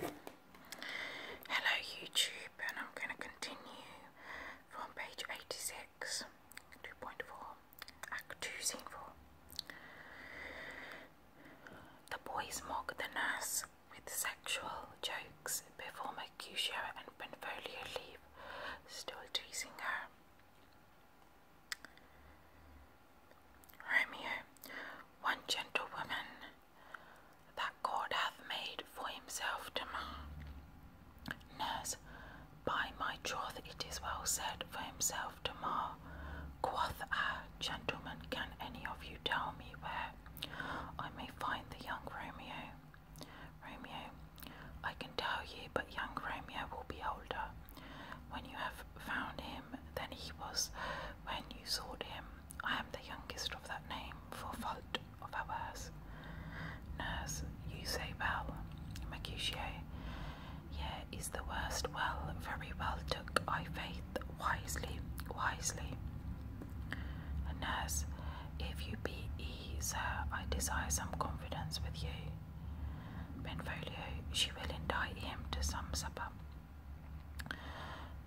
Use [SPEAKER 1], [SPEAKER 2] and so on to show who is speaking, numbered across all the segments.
[SPEAKER 1] Hello YouTube and I'm going to continue from page 86, 2.4, Act 2, Scene 4. The boys mock the nurse with sexual jokes before Mercutio and Benvolio leave, still teasing her. Romeo, one gentlewoman that God hath made for himself demand. Nurse, by my troth it is well said for himself to mar. Quoth I, gentlemen, can any of you tell me where I may find the young Romeo? Romeo, I can tell you, but young Romeo will be older. When you have found him than he was when you sought him. I am the youngest of that name, for fault of ours. Nurse, you say well, Mercutio. Yea, is the worst well, very well took I faith, wisely, wisely. nurse, if you be E, sir, I desire some confidence with you. Benfolio, she will indict him to some supper.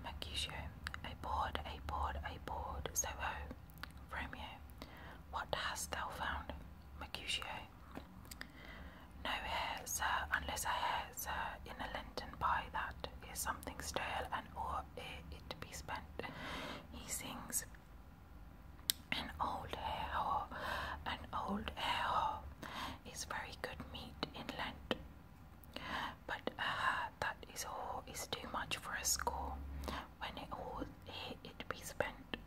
[SPEAKER 1] Mercutio, a board, a board, a board. So, Romeo, what hast thou found? Mercutio, no hair, sir, unless a hair, sir, in a lenten pie that is something stale and or ere it be spent. He sings an old hair an old hair is very good meat in Lent. But uh, that is all is too much for a score. When it all it be spent,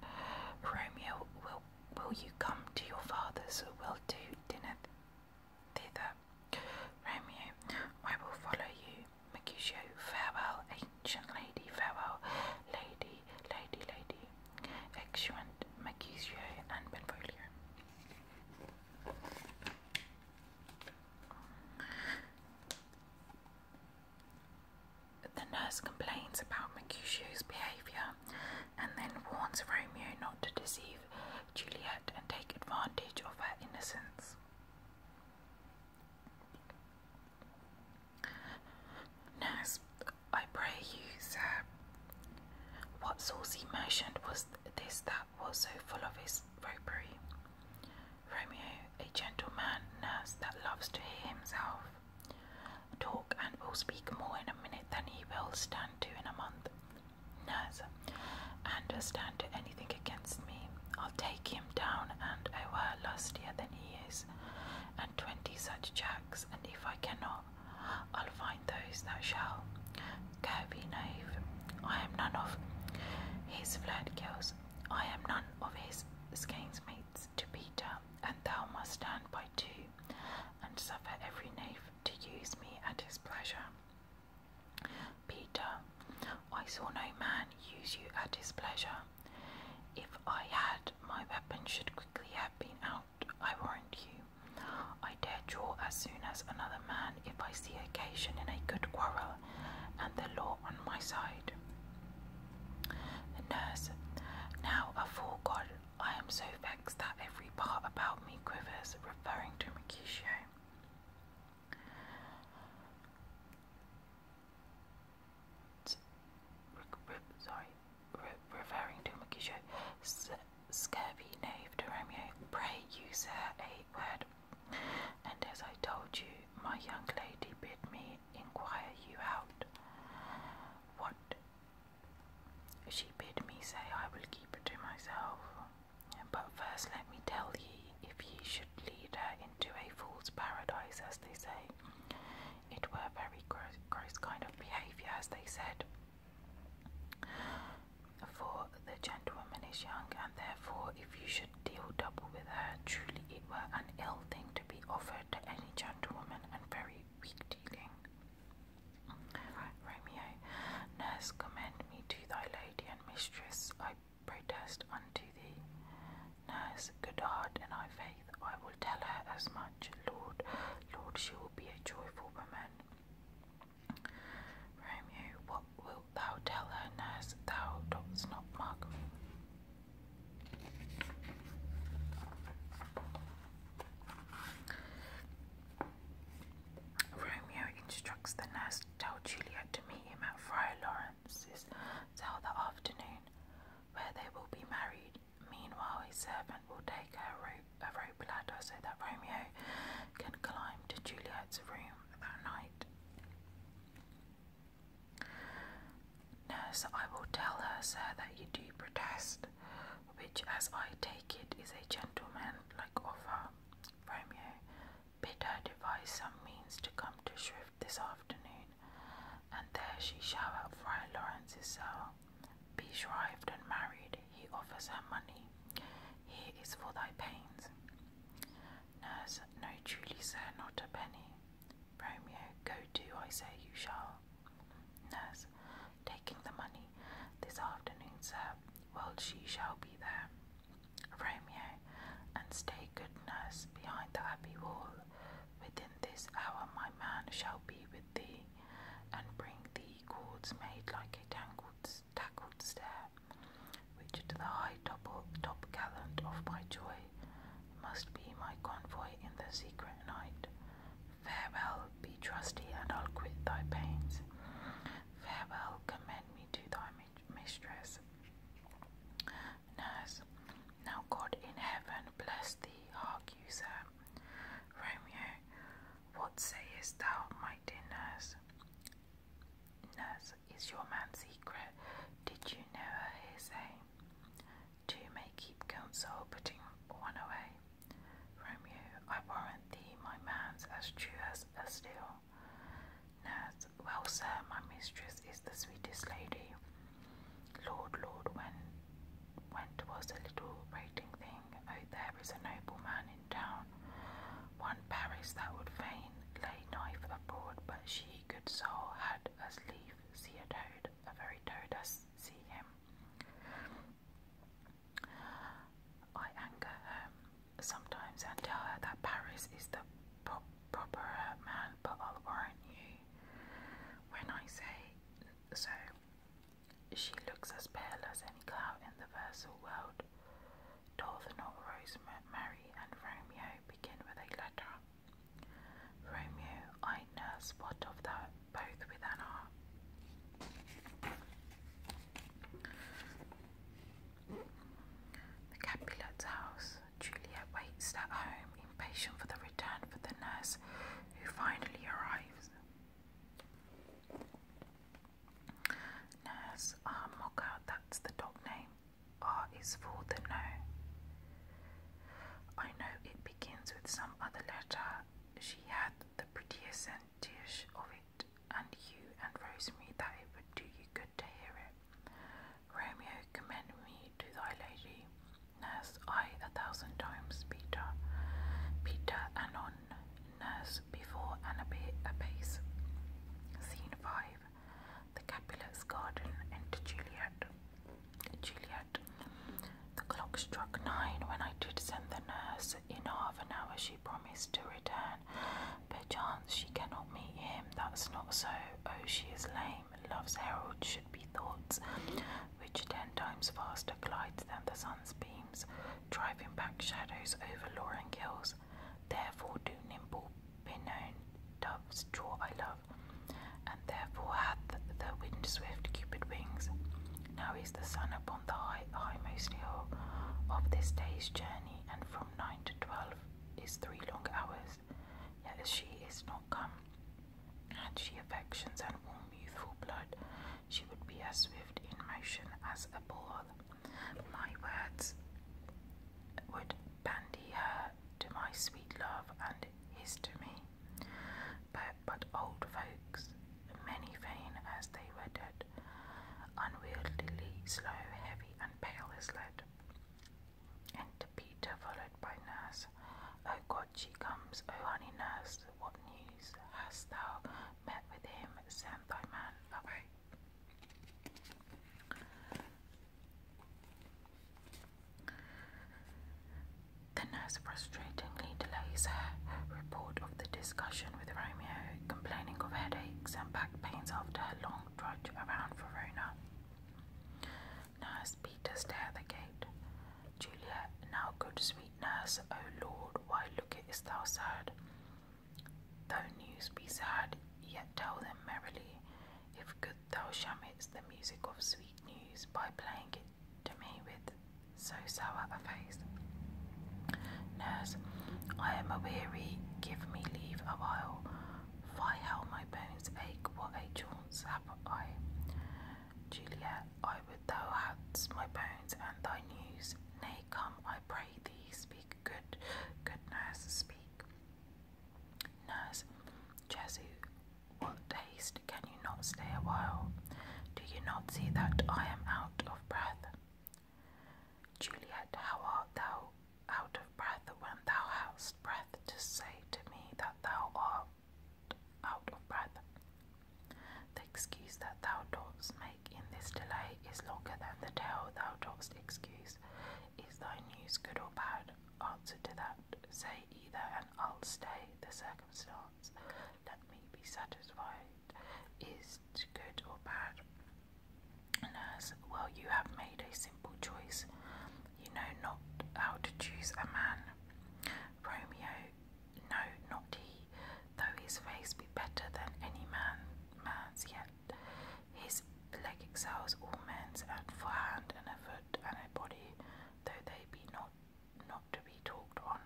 [SPEAKER 1] Romeo, will will you come to your father's? We'll do dinner thither. Romeo, I will follow you. Mercutio, farewell, ancient lady, farewell, lady, lady, lady. Exeunt Mercutio and Benvolio. The nurse complains about Mercutio's behaviour and then warns Romeo not to deceive Juliet and take advantage of her innocence. Nurse, I pray you, sir, what saucy merchant was this that was so full of his roguery. Romeo, a gentleman nurse that loves to hear himself talk and will speak more in a minute than he will stand to in a month. Nurse, understand anything against me. I'll take him down, and I were lustier than he is, and twenty such jacks, and if I cannot, I'll find those that shall. Go be knave, I am none of his flirt girls. I am none of his scansmates to Peter, and thou must stand by too, and suffer every knave to use me at his pleasure. Peter, I saw no man use you at his pleasure. If I had, my weapon should quickly have been out I warrant you. I dare draw as soon as another man if I see occasion in a good quarrel, and the law on my side. nurse, now afore God, I am so vexed that every part about me quivers, referring to Mercutio. Sorry, referring to Mercutio scurvy knave to Romeo, pray you, sir, a word. And as I told you, my young lady bid me inquire you out. What she bid me say, I will keep it to myself. But first, let me tell ye if ye should lead her into a fool's paradise, as they say. It were a very gross kind of behaviour, as they said, for the gentlewoman is young, and therefore, if you should deal double with her, truly it were an ill thing to be offered to any gentlewoman, and very weak dealing. Romeo, nurse, commend me to thy lady and mistress, I protest unto thee. Nurse, good heart and I faith, I will tell her as much. Lord, Lord, she will be a joyful woman. Romeo, what wilt thou tell her, nurse, thou dost not mark Romeo instructs the nurse to tell Juliet to meet him at Friar Lawrence's cell that afternoon, where they will be married. Meanwhile, his servant will take her robe a rope ladder so that Romeo can climb to Juliet's room that night. Nurse, I will tell her, sir, that you do protest, which, as I take it, is a gentleman-like offer. Romeo, bid her devise some means to come to Shrift this afternoon, and there she shall have Friar Lawrence's cell. Be shrived and married, he offers her money. Here is for thy pains. Nurse, no, truly, sir, not a penny. Romeo, go to, I say you shall. Nurse, taking the money, this afternoon, sir, while she shall be there. Romeo, and stay, good nurse, behind the abbey wall. Within this hour, my man shall be with thee and bring the cords made like a tangled, tackled stair, which the high top, top gallant of my joy must be my convoy in the secret night. Farewell, be trusty, and I'll quit thy pains. Farewell, commend me to thy mistress. Nurse, now God in heaven bless thee, hark Romeo, what sayest thou, my dear nurse? Nurse, is your man's secret? Did you never hear say? Two may keep counsel, putting one away. From you, I warrant thee, my man's as true as steel. Nurse, well, sir, my mistress is the sweetest lady. Lord, Lord, when went was a little rating thing. Oh, there is a nobleman in town, one Paris that would fain lay knife for the board. but she, good soul, had as lief see a toad, a very toad as see him. I anger her sometimes and tell her that Paris is the proper man, but I'll warrant you when I say so. She looks as pale as any cow in the versal world. Dolthanor, Rosemary, and Romeo begin with a letter. Romeo, I nurse what of that, both with heart. The Capulet's house. Juliet waits at home, impatient for the return of the nurse who finally arrives. Nurse Ah Mocha, that's the dog name. R is for the no. I know it begins with some other letter. She had the prettiest dish of it, and you and Rosemary that it would do you good to hear it. Romeo, commend me to thy lady. Nurse, I a thousand times, Peter. Peter, and on nurse before and apace. Scene 5 The Capulets' garden Enter Juliet. Juliet. The clock struck nine when I did send the nurse. In half an hour she promised to return. Perchance she cannot meet him. That's not so. Oh, she is lame. Love's herald should be thoughts, which ten times faster glides than the sun's beam driving back shadows over lowering hills. Therefore do nimble pinown doves draw I love, and therefore hath the wind swift cupid wings. Now is the sun upon the high highmost hill of this day's journey, and from nine to twelve is three long hours. Yet she is not come, and she affections and warm youthful blood. She would be as swift in motion as a ball. My words would bandy her to my sweet love and his to me. But, but old folks, many vain as they were dead, unwieldily, slow, heavy, and pale as lead. Enter Peter, followed by Nurse. Oh God, she comes, oh honey, nurse, what news hast thou met with him? Send thy man away. The nurse frustratingly delays her report of the discussion with Romeo, complaining of headaches and back pains after her long trudge around Verona. Nurse Peter stay at the gate. Julia, now good sweet Nurse, O Lord, why look? lookest thou sad? Though news be sad, yet tell them merrily. If good thou shamest the music of sweet news by playing it to me with so sour a face. Nurse, I am weary. give me leave a while. Fie how my bones ache, what a chance have I. Juliet, I would thou hadst my bones and thy news. Nay, come, I pray thee, speak good, good nurse, speak. Nurse, Jesu, what haste, can you not stay a while? Do you not see that I am out of breath? Juliet, how art thou out of breath when thou hast breath to say to me that thou art out of breath. The excuse that thou dost make in this delay is longer than the tale thou dost excuse. Is thy news good or bad? Answer to that. Say either, and I'll stay the circumstance. Let me be satisfied. Is it good or bad? Nurse, well, you have made a simple choice. You know not how to choose a man. Romeo, no, not he, though his face be better than any man man's yet. His leg excels all men's, and for hand and foot and body, though they be not not to be talked on,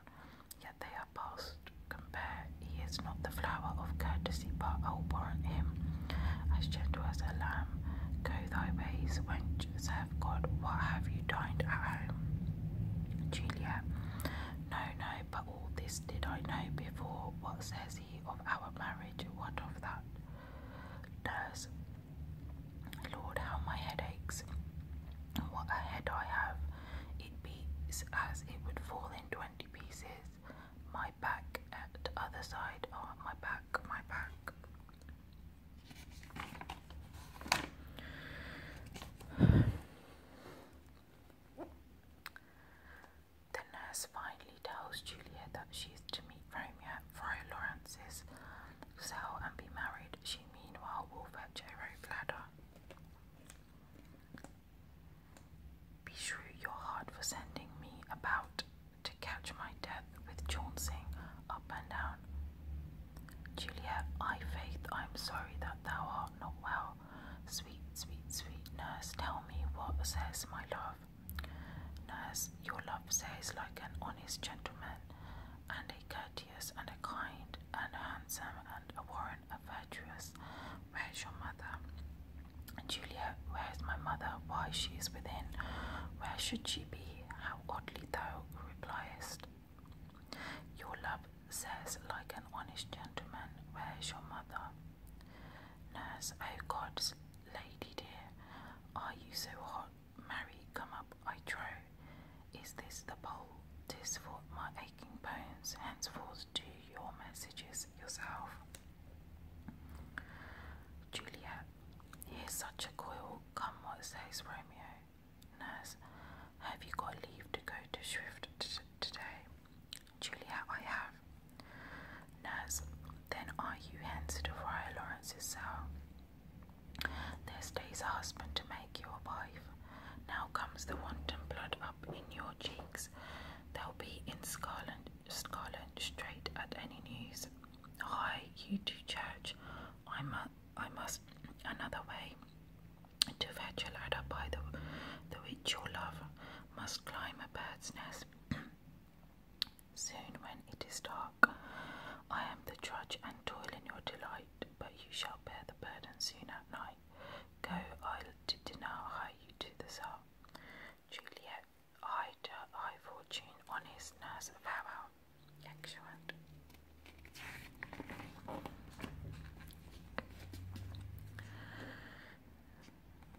[SPEAKER 1] yet they are past compare. He is not the flower of courtesy, but I'll warrant him as gentle as a lamb. Go thy ways when much God. What have you dined at home? Julia. No, no, but all this did I know before. What says he of our marriage? What of that? Nurse. Lord, how my head aches. What a head I have. It beats as it would fall in 20 pieces. My back at other side. Oh, my back, my back. The nurse finally tells Julia that she is to meet Romeo at Friar Lawrence's cell and be married. She meanwhile will fetch a rope ladder. Beshrew your heart for sending me about to catch my death with jouncing up and down. Juliet, I, Faith, I am sorry that thou art not well. Sweet, sweet, sweet nurse, tell me what says my love. Nurse, your love says like an honest gentleman, and a courteous, and a kind, and handsome, and a warrant, a virtuous. Where's your mother? Juliet, where is my mother? Why, she is within. Where should she be? How oddly thou repliest. Your love says, like an honest gentleman, Where's your mother? Nurse, oh God's lady dear, are you so hot? Mary, come up, I trow. Is this the bowl? Tis for my aching bones, henceforth do your messages yourself. Juliet, here's such a coil, come what says Romeo. Nurse, have you got leave to go to Swift today? Julia, I have. Nurse, then are you hence to Friar Lawrence's cell? There stays a husband to make you a wife. Now comes the wanton blood up in your cheeks. They'll be in Scotland, Scarlet straight at any news. Hi, you to church. I'm a I must another way to fetch a ladder by the, the which your love must climb a bird's nest. Soon, when it is dark, I am the drudge and toil in your delight, but you shall bear the burden soon at night. Go, I'll to dinner, hie you to the cell. Juliet eyed her fortune honest nurse, farewell.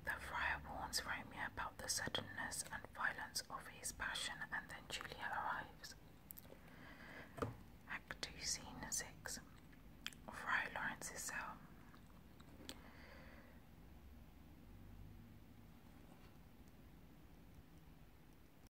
[SPEAKER 1] The friar warns Romeo about the suddenness and violence of his passion, and then Julia arrives. Act 2, Scene 6 Friar Lawrence's cell.